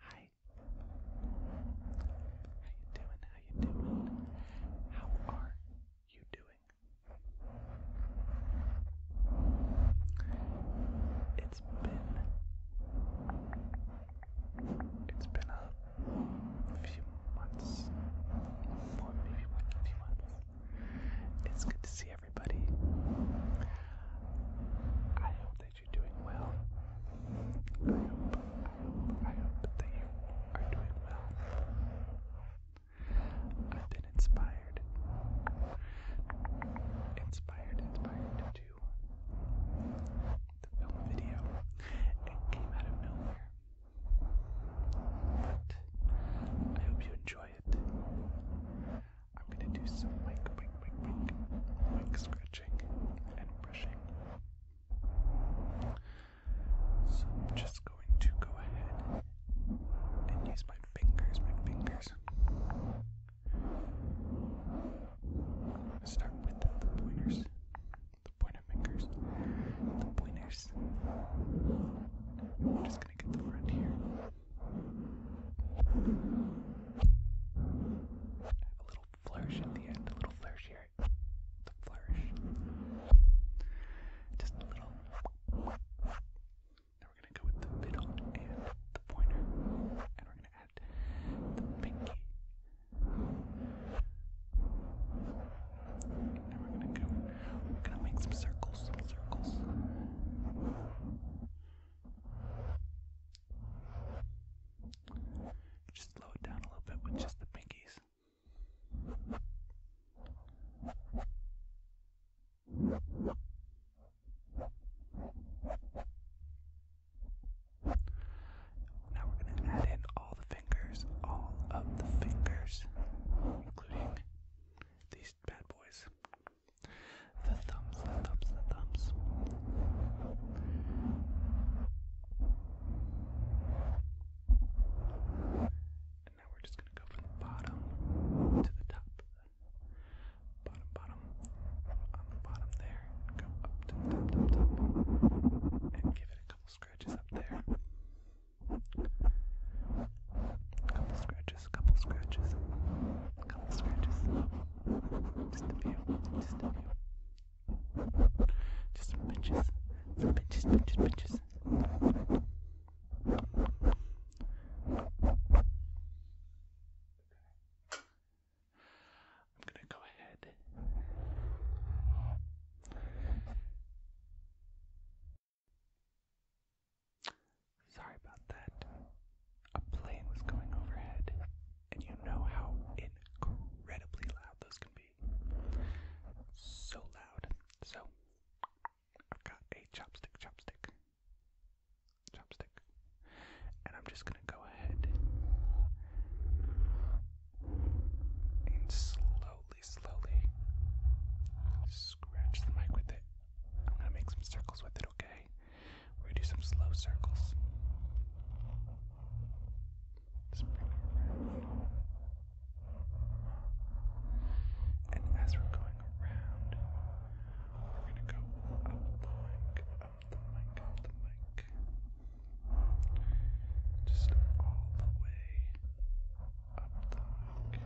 Hi. How you doing? How you doing? How are you doing? It's been it's been a few months. maybe one a few months. It's good to see everybody. I hope that that you're doing well. I hope, that you are doing well. I've been inspired, inspired, inspired to do the film video. It came out of nowhere. I hope you enjoy it. I'm gonna do some mic, mic, mic, mic, mic scratching and brushing. So I'm just going to go ahead and use my fingers, my fingers. start with the pointers, the pointer fingers, the pointers. I'm just gonna get the front here. A little flourish at the end, a little flourish here. The flourish. Just a little. Now we're going to go with the middle and the pointer, and we're going to add the pinky. And now we're going to go, we're going to make some circles, some circles. Just slow it down a little bit with just the pinkies. Now we're going to add in all the fingers, all of the fingers, including these bad boys. The thumbs, the thumbs, the thumbs. And now we're just going to go from the bottom to the top. Bottom, bottom. On the bottom there. Go up to the top, top, And give it a couple scratches up there. A couple scratches scratches, couple scratches, couple scratches. Just a few, just a few. Just some pinches, some pinches, pinches, pinches. I'm going to go ahead. Sorry about that. A plane was going overhead, and you know how incredibly loud those can be. So loud. So, I've got a chopstick, chopstick, chopstick, and I'm just gonna go ahead and slowly, slowly scratch the mic with it. I'm gonna make some circles with it, okay? We're gonna do some slow circles. And as we're going around, we're gonna go up the mic, up the mic, up the mic. Just all the way up the mic.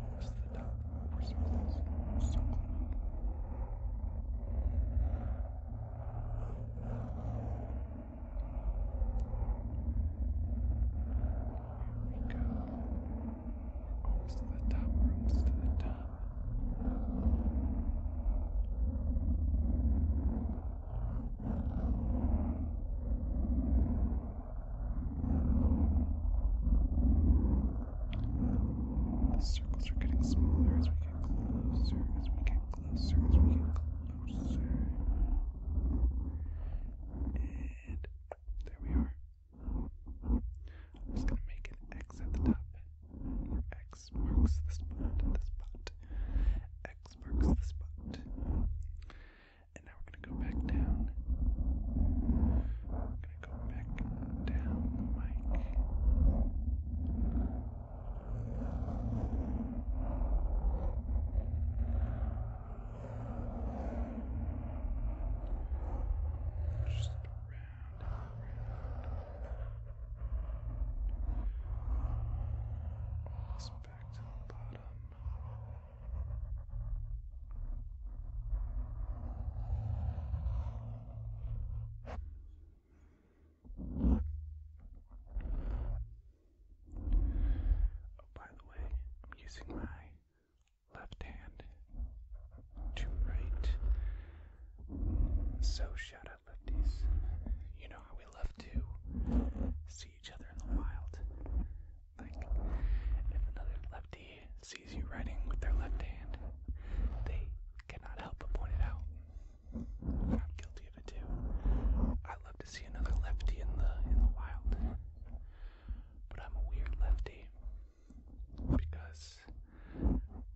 Notice the top surface is so clean. Here we go. We're almost to the top, we're almost to the top. The circles are getting smaller as we get closer, as we get closer, as we get closer. And there we are. I'm just gonna make an X at the top. Where X marks the spot, the spot. X marks the spot. And now we're going to go back down. We're going to go back down the mic. Just around and around. All this back to the bottom. Oh, by the way, I'm using my left hand to write. So, shout out lefties. You know how we love to see each other in the wild think. If another lefty sees you writing with their left hand, they cannot help but point it out. I'm guilty of it too. I love to see another lefty in the in the wild. But I'm a weird lefty because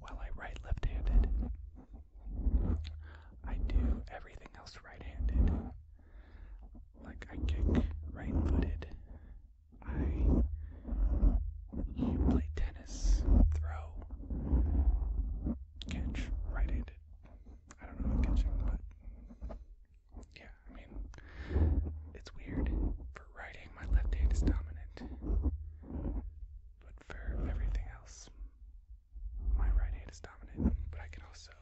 while I write left-handed, I do everything else right-handed. Like I kick right footed. I play tennis, throw, catch right handed. I don't know catching, but yeah, I mean it's weird. For writing my left hand is dominant. But for everything else, my right hand is dominant, but I can also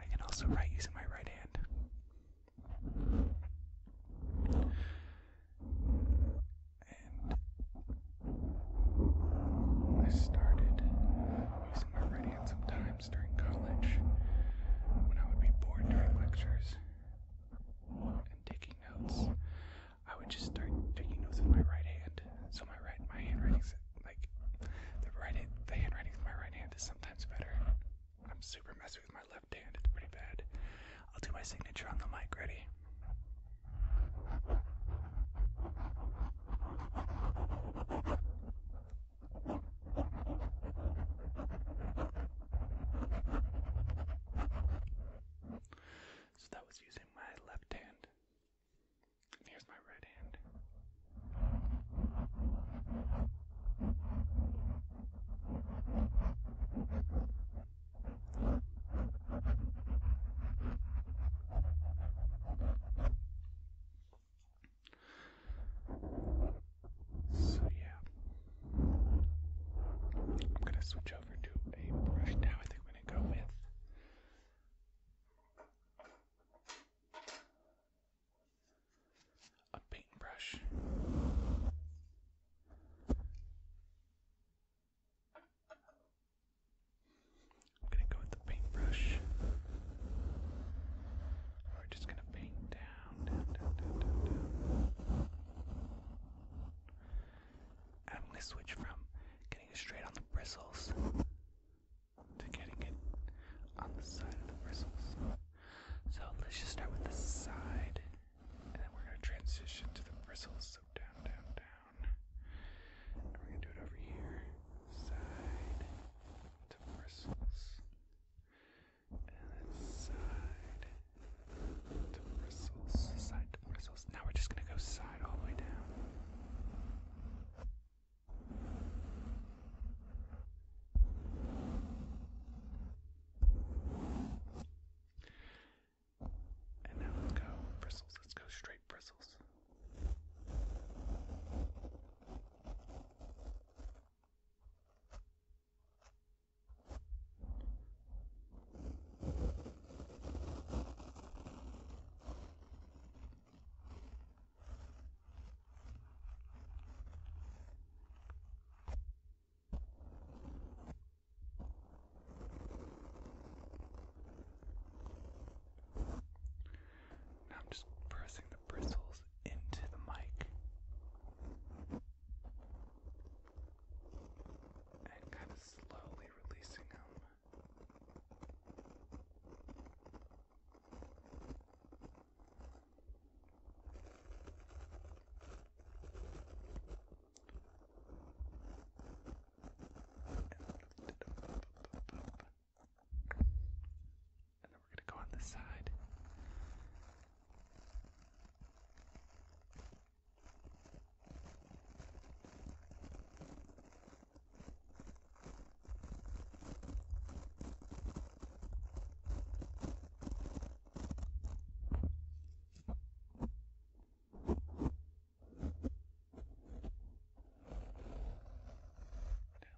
I can also write using my right hand. And I started using my right hand sometimes during college when I would be bored during lectures and taking notes. I would just start taking notes with my right hand, so my right my handwriting like the right the handwriting with my right hand is sometimes better. I'm super messy with my left hand, it's pretty bad. I'll do my signature on the mic, ready? So that was using my left hand here's my red hand. So, yeah, I'm gonna switch over to a brush now. I think I'm gonna go with a paintbrush. I'm going to go with the paintbrush. We're just going to paint down, I'm going to switch from getting straight on the bristles to getting it on the side of the bristles. So let's just start with the side, and then we're going to transition to the bristles. So down, down, down. And we're going to do it over here. Side to bristles. And then side to bristles. Side to bristles. Now we're just going to go side all the way down. And now let's go bristles. Let's go straight bristles. Now I'm just pressing the bristles into the mic and kind of slowly releasing them. And then we're going to go on this side. Down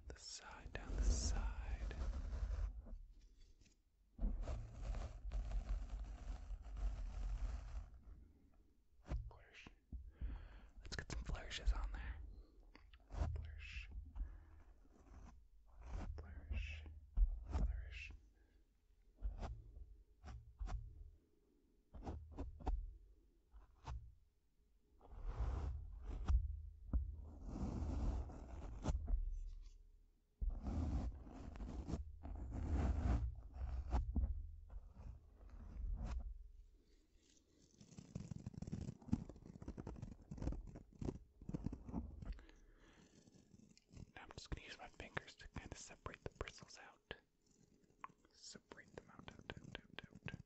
the side, down the side. Quarter Let's get some flourishes on there. Flourish. Flourish. Flourish. Now I'm just going to use my fingers to kind of separate the bristles out. Separate them out, out, out, out, out.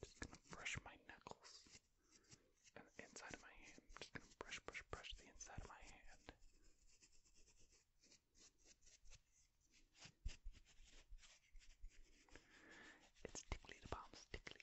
Just gonna brush my knuckles and the inside of my hand. just gonna brush, brush, brush the inside of my hand. It's tickly, the palms tickly.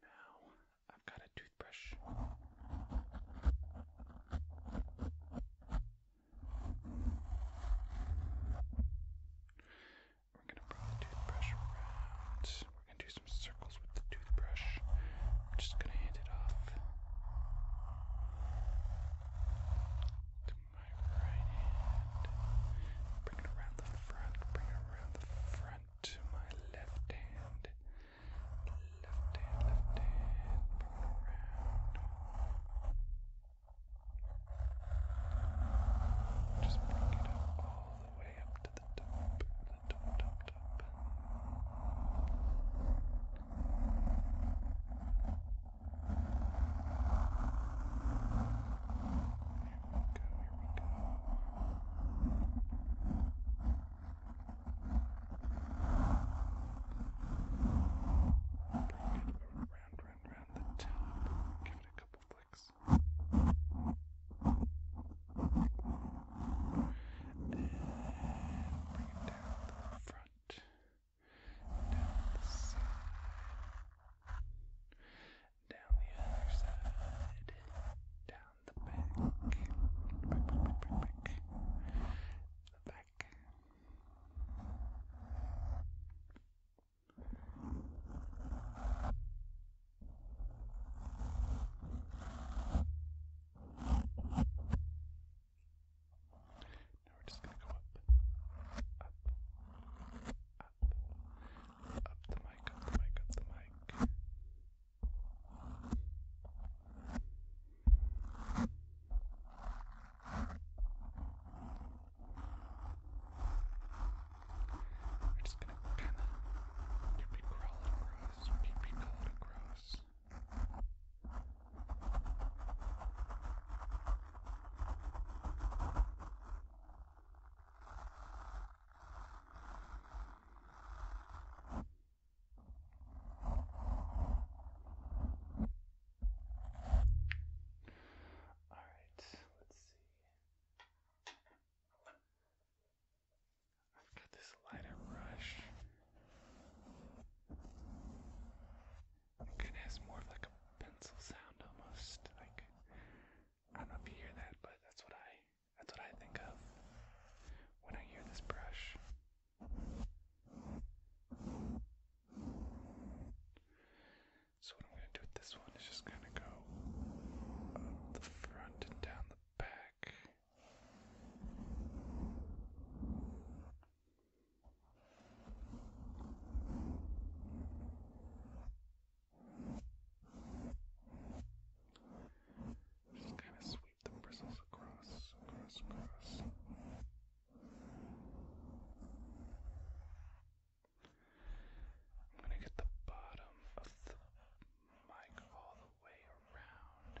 Now I've got a toothbrush. We're gonna bring the toothbrush around. We're gonna do some circles with the toothbrush. I'm just gonna hand it off to my right hand. Bring it around the front. Bring it around the front to my left hand. Left hand, left hand, around. Just bring it up all the way up to the top, the top, top, top we go, here we go. Bring it around, round, round the top. Give it a couple flicks. And bring it down to the front, down the side, down the other side, down the back, the back. Now we're just going to go up, up, up, up the mic, up the mic, up the mic. We're just gonna kinda keep it crawling across, keep it crawling across. All right, let's see. I've got this lighter brush. It kind of has more of like a pencil sound almost. Like I don't know if you hear that, but that's what I that's what I think of when I hear this brush. So, what I'm going to do with this one is just kind of go up the front and down the back. Just kind of sweep the bristles across, across, across. I'm gonna get the bottom of the mic all the way around.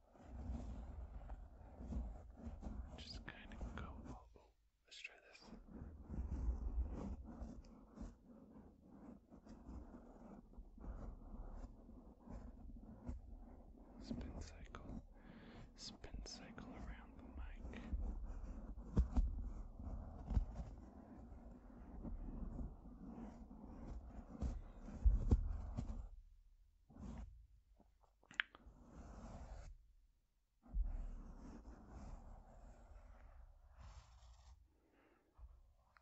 Just kind of go. Oh, oh, let's try this. Spin cycle. Spin cycle around the mic.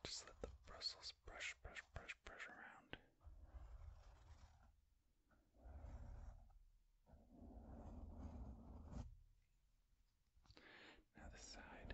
Just let the bristles brush, brush, brush, brush around. Now, the side.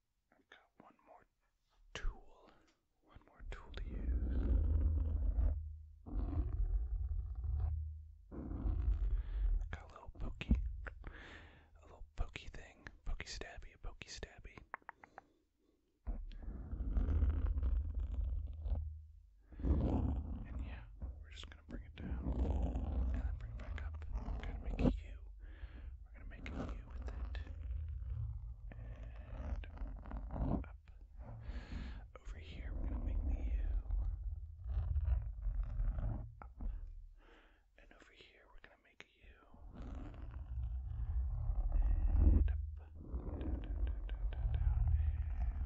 i got one more tool, one more tool to use. Got a little pokey, a little pokey thing, pokey stabby, a pokey stabby. And yeah, we're just gonna bring it down and then bring it back up. gonna make you we're going to make a U with it. And up. Over here, we're going to make the U. Up. And over here, we're going to make a U. And up. Down, down, down, down, down, down.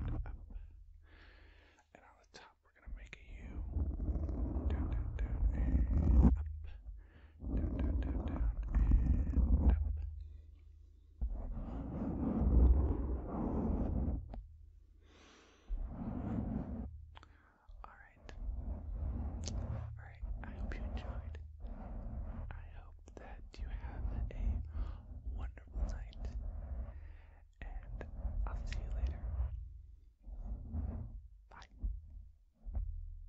And up. And on the top, we're going to make a U. Down, down, down, and up down, down, down, down, and up. Alright. Alright, I hope you enjoyed. I hope that you have a wonderful night, and I'll see you later. Bye.